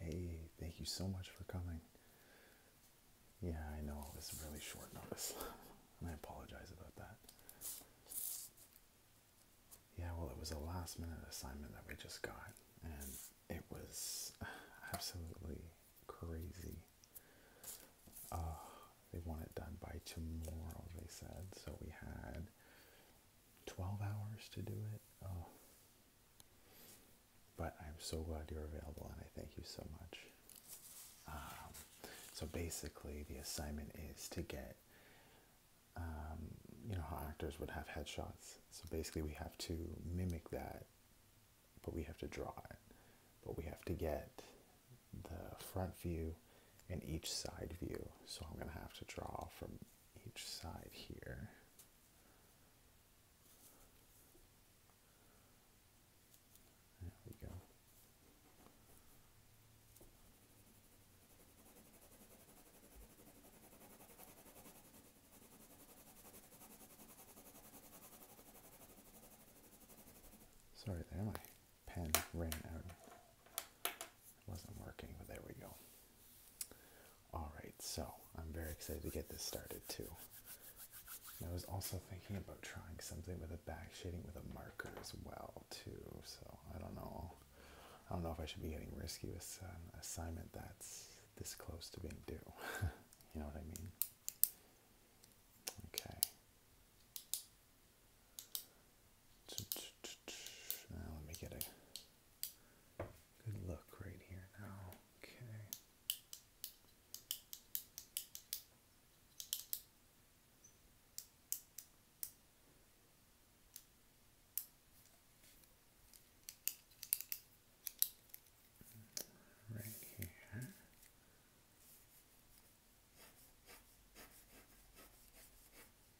Hey, thank you so much for coming. Yeah, I know it it's really short notice, and I apologize about that. Yeah, well, it was a last minute assignment that we just got, and it was absolutely crazy. they want it done by tomorrow, they said, so we had 12 hours to do it. But I'm so glad you're available and I thank you so much. Um, so basically, the assignment is to get, um, you know, how actors would have headshots. So basically, we have to mimic that, but we have to draw it. But we have to get the front view and each side view. So I'm going to have to draw from each side here. There we go. Sorry there, my pen ran out. It wasn't working, but there we go. All right, so I'm very excited to get this started too. I was also thinking about trying something with a back shading with a marker as well too. So I don't know. I don't know if I should be getting risky with an um, assignment that's this close to being due. you know what I mean? Okay. Now let me get a Good luck right here now. Okay. Right here.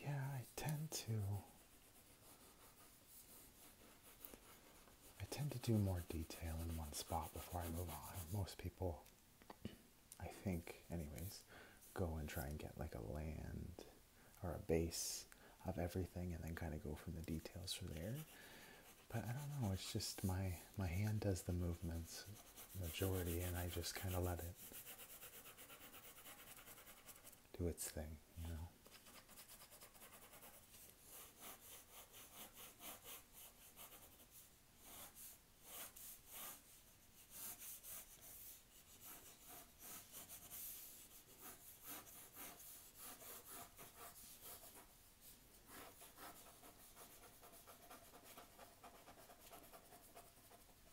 Yeah, I tend to. I tend to do more detail in one spot before I move on. Most people, I think, anyways, go and try and get like a land or a base of everything and then kind of go from the details from there. But I don't know, it's just my my hand does the movements majority and I just kind of let it do its thing, you know.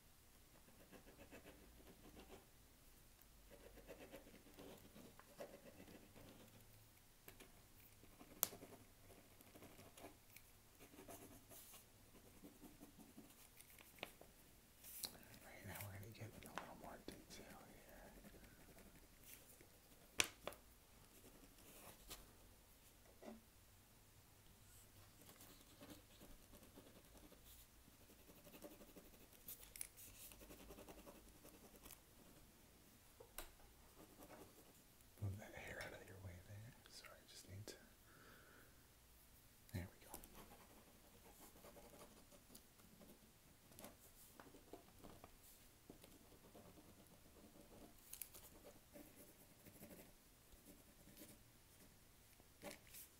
Right now we're going to get into a little more detail here. All Move that hair out of your way there. Sorry, I just need to. There we go.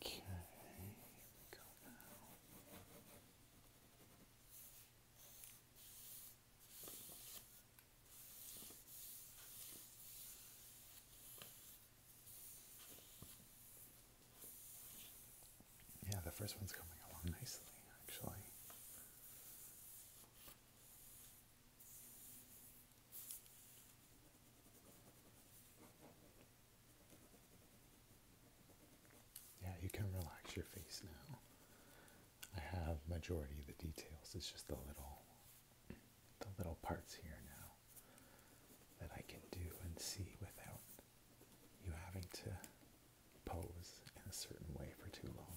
Okay, Yeah, the first one's coming along nicely, actually. Yeah, you can relax your face now. I have majority of the details. It's just the little the little parts here now that I can do and see without you having to pose in a certain way for too long.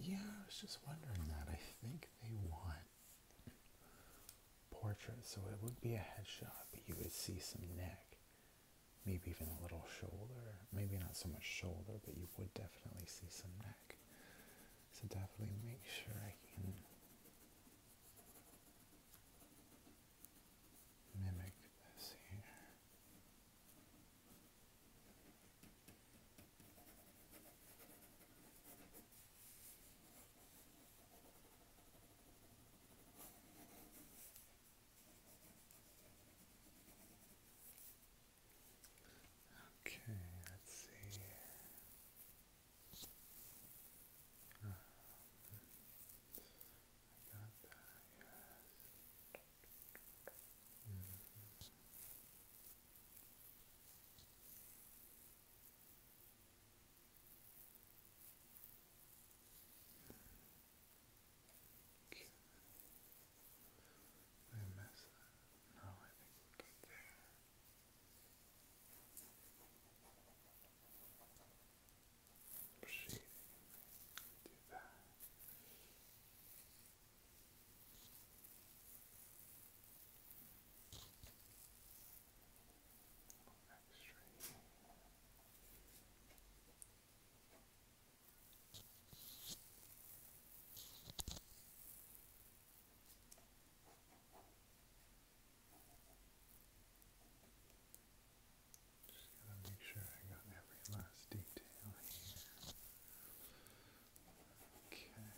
Yeah, I was just wondering that. I think they want portraits, so it would be a headshot, but you would see some neck, maybe even a little shoulder. Maybe not so much shoulder, but you would definitely see some neck. So definitely make sure I can mimic this here. Okay, let's see. Um, I got that, yes. Mm -hmm. Okay. Did I mess that? No, I think we're good there. Breathing, do that. Extra. Breathing. Just gotta make sure I got every last detail here. Okay. Hmm.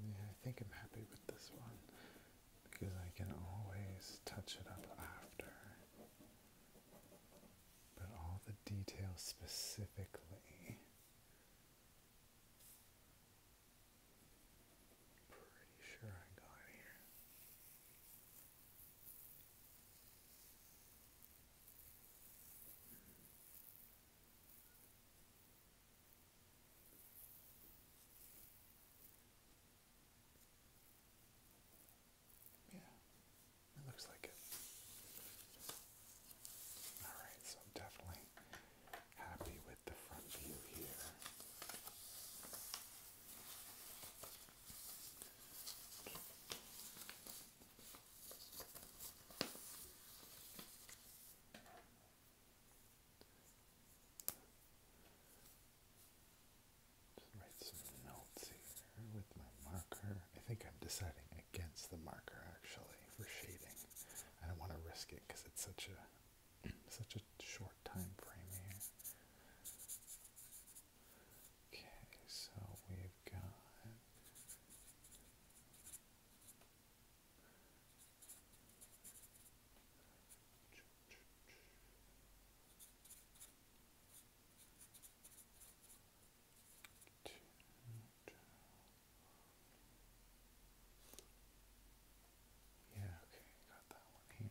Yeah, I think I'm happy with this one because I can always touch it up after. But all the details specifically. Pretty sure I got here. Yeah, it looks like it. Alright, so I'm definitely happy with the front view here write some notes here with my marker. I think I'm deciding against the marker actually for shading. I don't want to risk it because it's such a such a short time frame here. Okay, so we've got yeah, okay, got that one here. Two,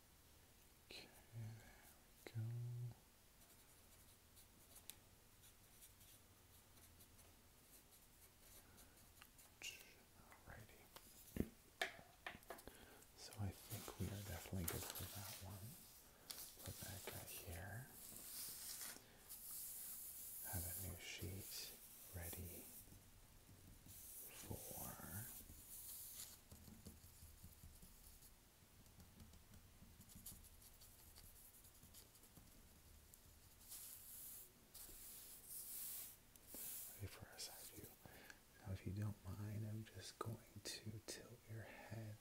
Okay, there we go. Alrighty. So I think we are definitely good for that one. Put that here. Have a new sheet ready for Wait for side view. Now, if you don't mind, I'm just going to tilt your head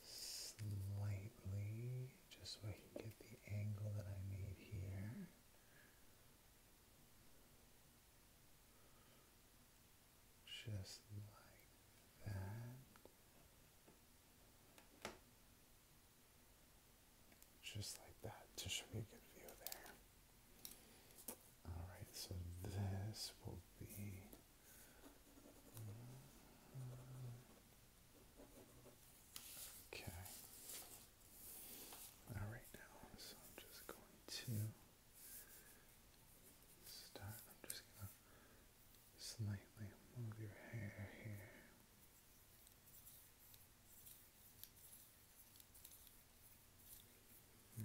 slightly just so I can get the angle that I need here just like that. Just like that, to show you a good view there. Alright, so this will be. Okay. All right now, so I'm just going to start. I'm just going to slightly move your hair here.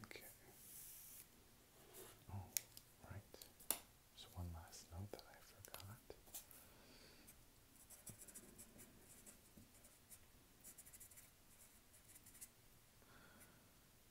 Okay. Oh, right. one last note that I forgot.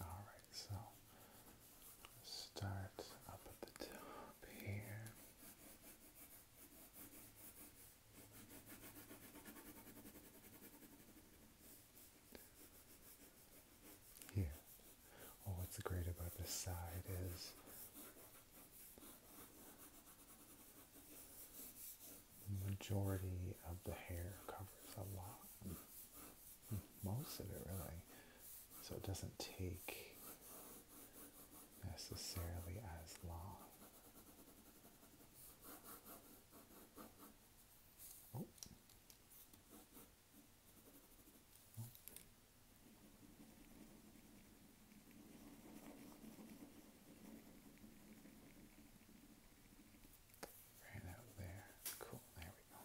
All right, so start up at the top here. Here. Oh, what's great about this side is the majority of the hair covers a lot. Hmm. Most of it really so it doesn't take necessarily as long. Oh. Right out there. Cool, there we go.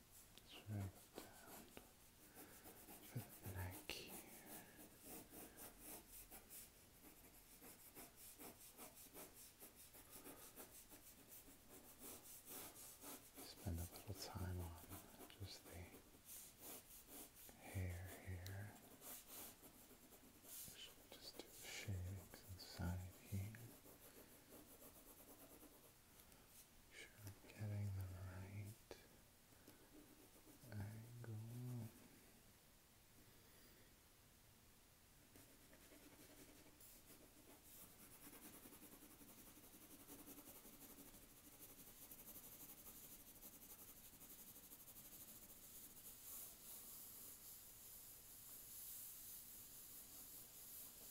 Let's down for the neck Spend a little time on just the hair here. Just do shadings inside here sure I'm getting the right angle.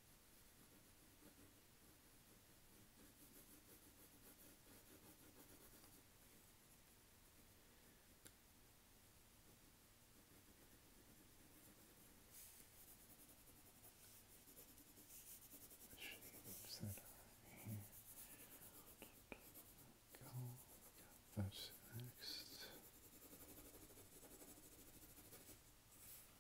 shapes that are here. Go, got those next.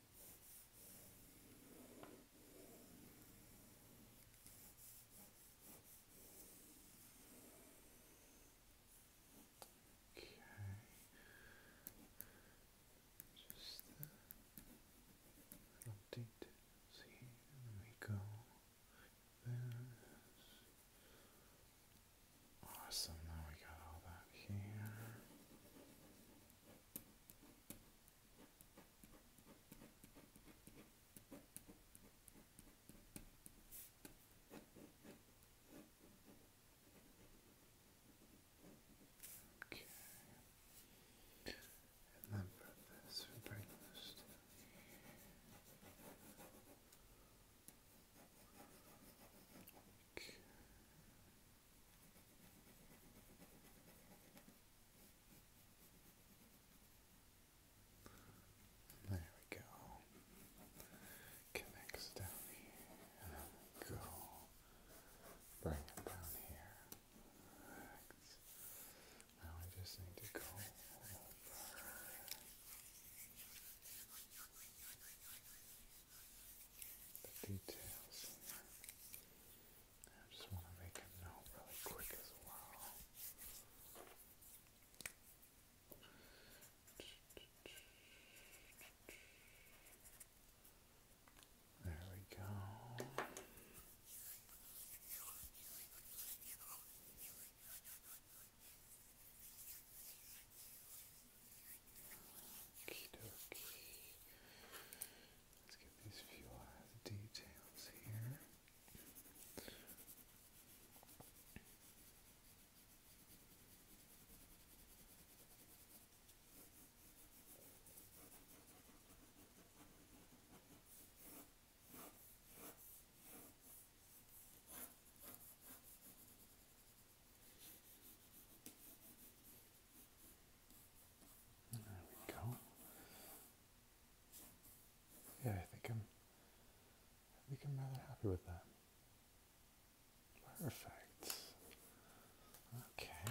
Okay. Just uh, an update. See, let me go. Awesome. Now we got all that here. Okay. And this, bring this Okay. There we go. Connects down here. Go. Bring it down here. Now I just need to go over. The details. I just want to make a note really quick as well. There we go. Okie dokie. Let's get these few uh, details here. There we go. Yeah, I think I'm I think I'm rather happy with that. Perfect. Okay.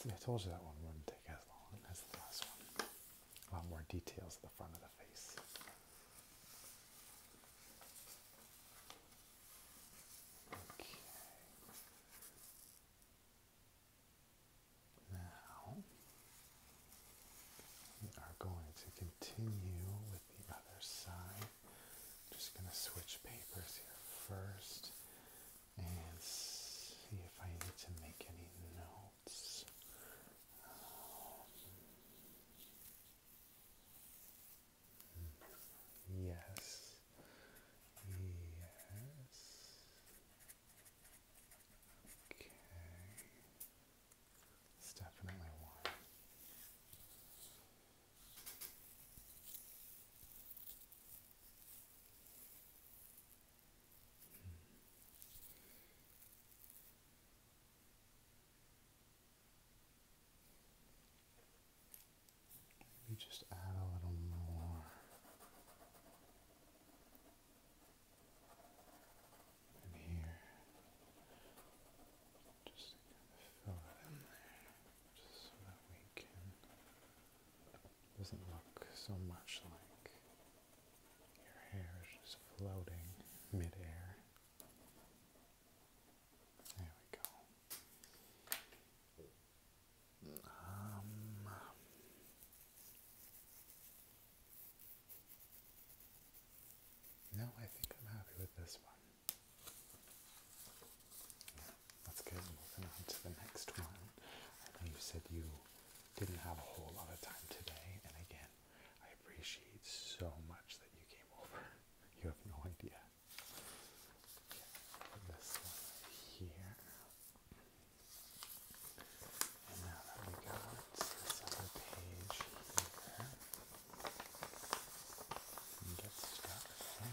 See, I told you that one wouldn't take as long as the last one. A lot more details at the front of the face. Okay. Now we are going to continue with the other side. I'm just going to switch papers here first and see if I need to make any notes. Um, Yes. Yes. Okay. definitely one. Maybe just add a little more. In here, just to fill it in there, just so that we can. It doesn't look so much like your hair is just floating midair. There we go. Um, no, I think I'm happy with this one. Yeah, let's get moving on to the next one. I know you said you didn't have a whole lot of time today, and again, I appreciate so much that you came over. You have no idea this one here. And now that we got this page here, and get oh,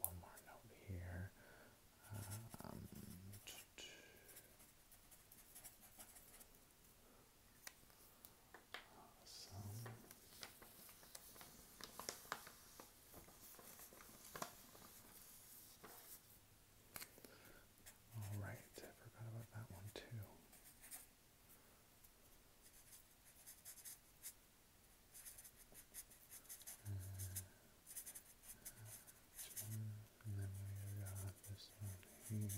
one more note here. Uh, some all right, I forgot about that one too and then we got this one here.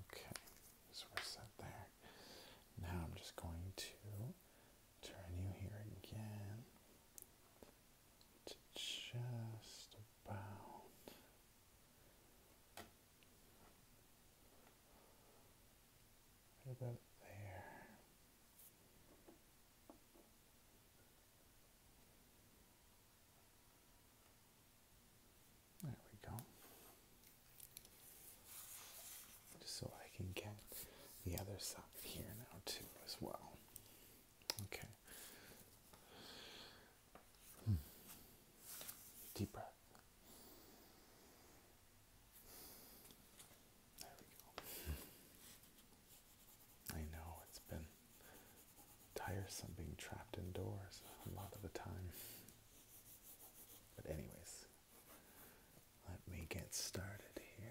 Okay, so we're set there. Now I'm just going to turn you here again to just what about there? There we go. Just so I can get the other side here now, too, as well. Okay. Hmm. Deep breath. There we go. I know it's been tiresome being trapped indoors a lot of the time. But, anyways, let me get started here.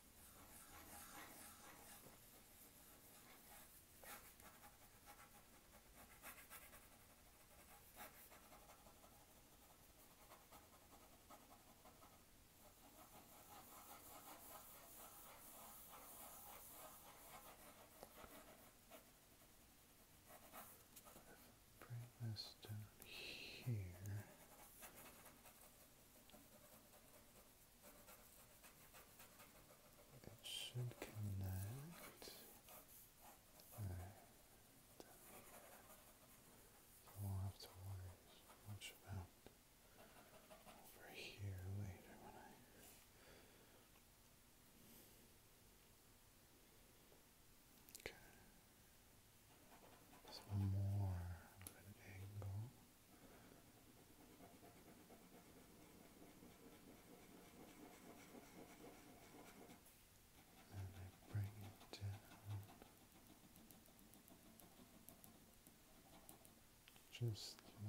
Bring this down here. It should connect. Right. So we have to worry much about over here later when I Okay some more of an angle. And I bring it down just like that.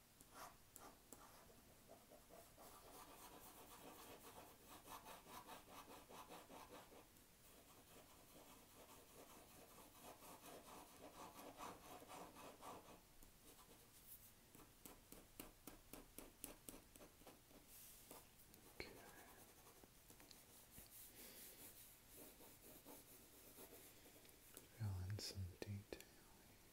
Okay. Fill in some detail here.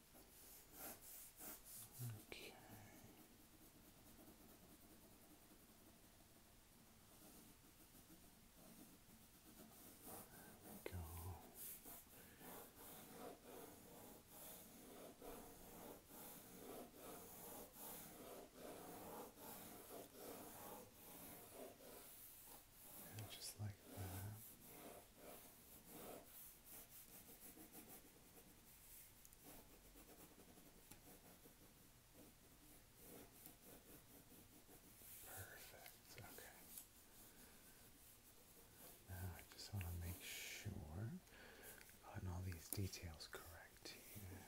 Okay. go. just like that. Perfect. Okay. Now I just want to make sure I've gotten all these details correct here.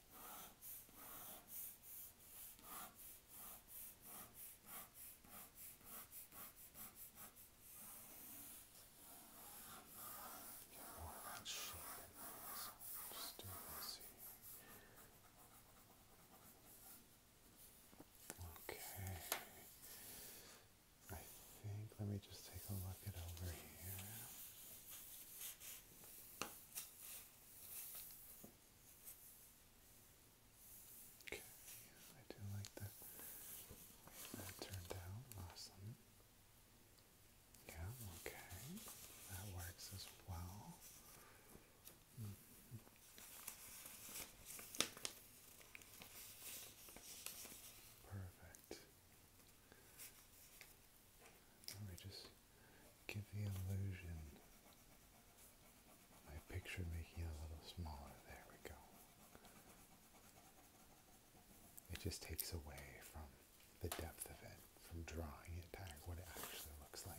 Let's shape it nice. Just do this here. Okay. I think let me just take a look at over here. Okay, yeah, I do like that. That turned out awesome. Yeah, okay. That works as well. Mm-hmm. Perfect. Let me just give the illusion. My picture making it a little smaller. There we go. It just takes away from the depth of it, from drawing it back, what it actually looks like.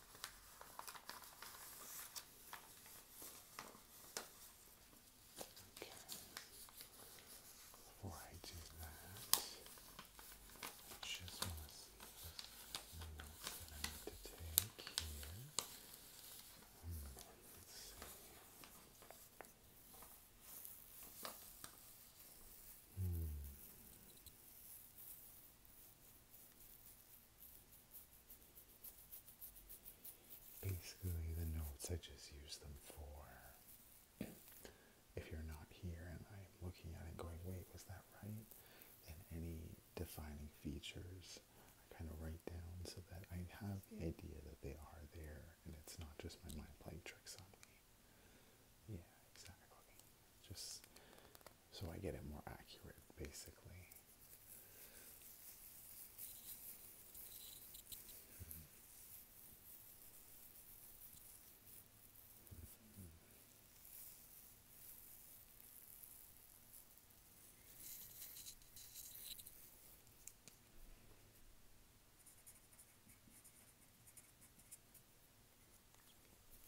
Okay. Before I do that, I just want to see the notes that I need to take here. Um, let's see. Hmm. Basically, the notes I just use them for. If you're not here and I'm looking at it going, wait, was that right? And any defining features I kind of write down so that I have the idea that they are there and it's not just my mind playing tricks on me. Yeah, exactly. Just so I get it more accurate basically.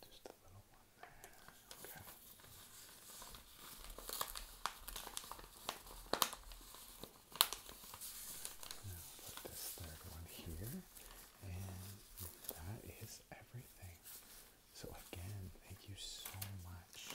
Just a little one there. Okay. Now put this third one here, and that is everything. So again, thank you so much.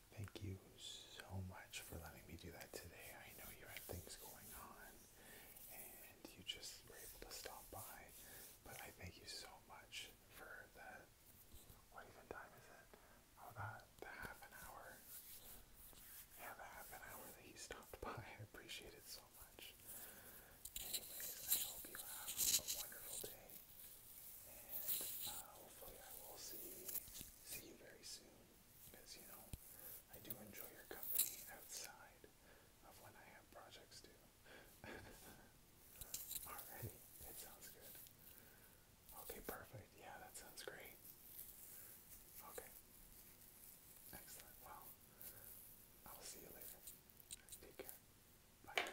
Thank you so much for letting me do that today. I know you had things going on and you just were able to stop by, but I thank you so much for that. What even time is it? about the half an hour. Yeah, the half an hour that he stopped by. I appreciate it so much. Anyways, I hope you have a wonderful day. And uh, hopefully I will see see you very soon. Because you know, I do enjoy your company outside of when I have projects to. Alrighty, it sounds good. Okay, perfect. Yeah, that sounds great. Okay. Excellent. Well, I'll see you later. Take care. Bye.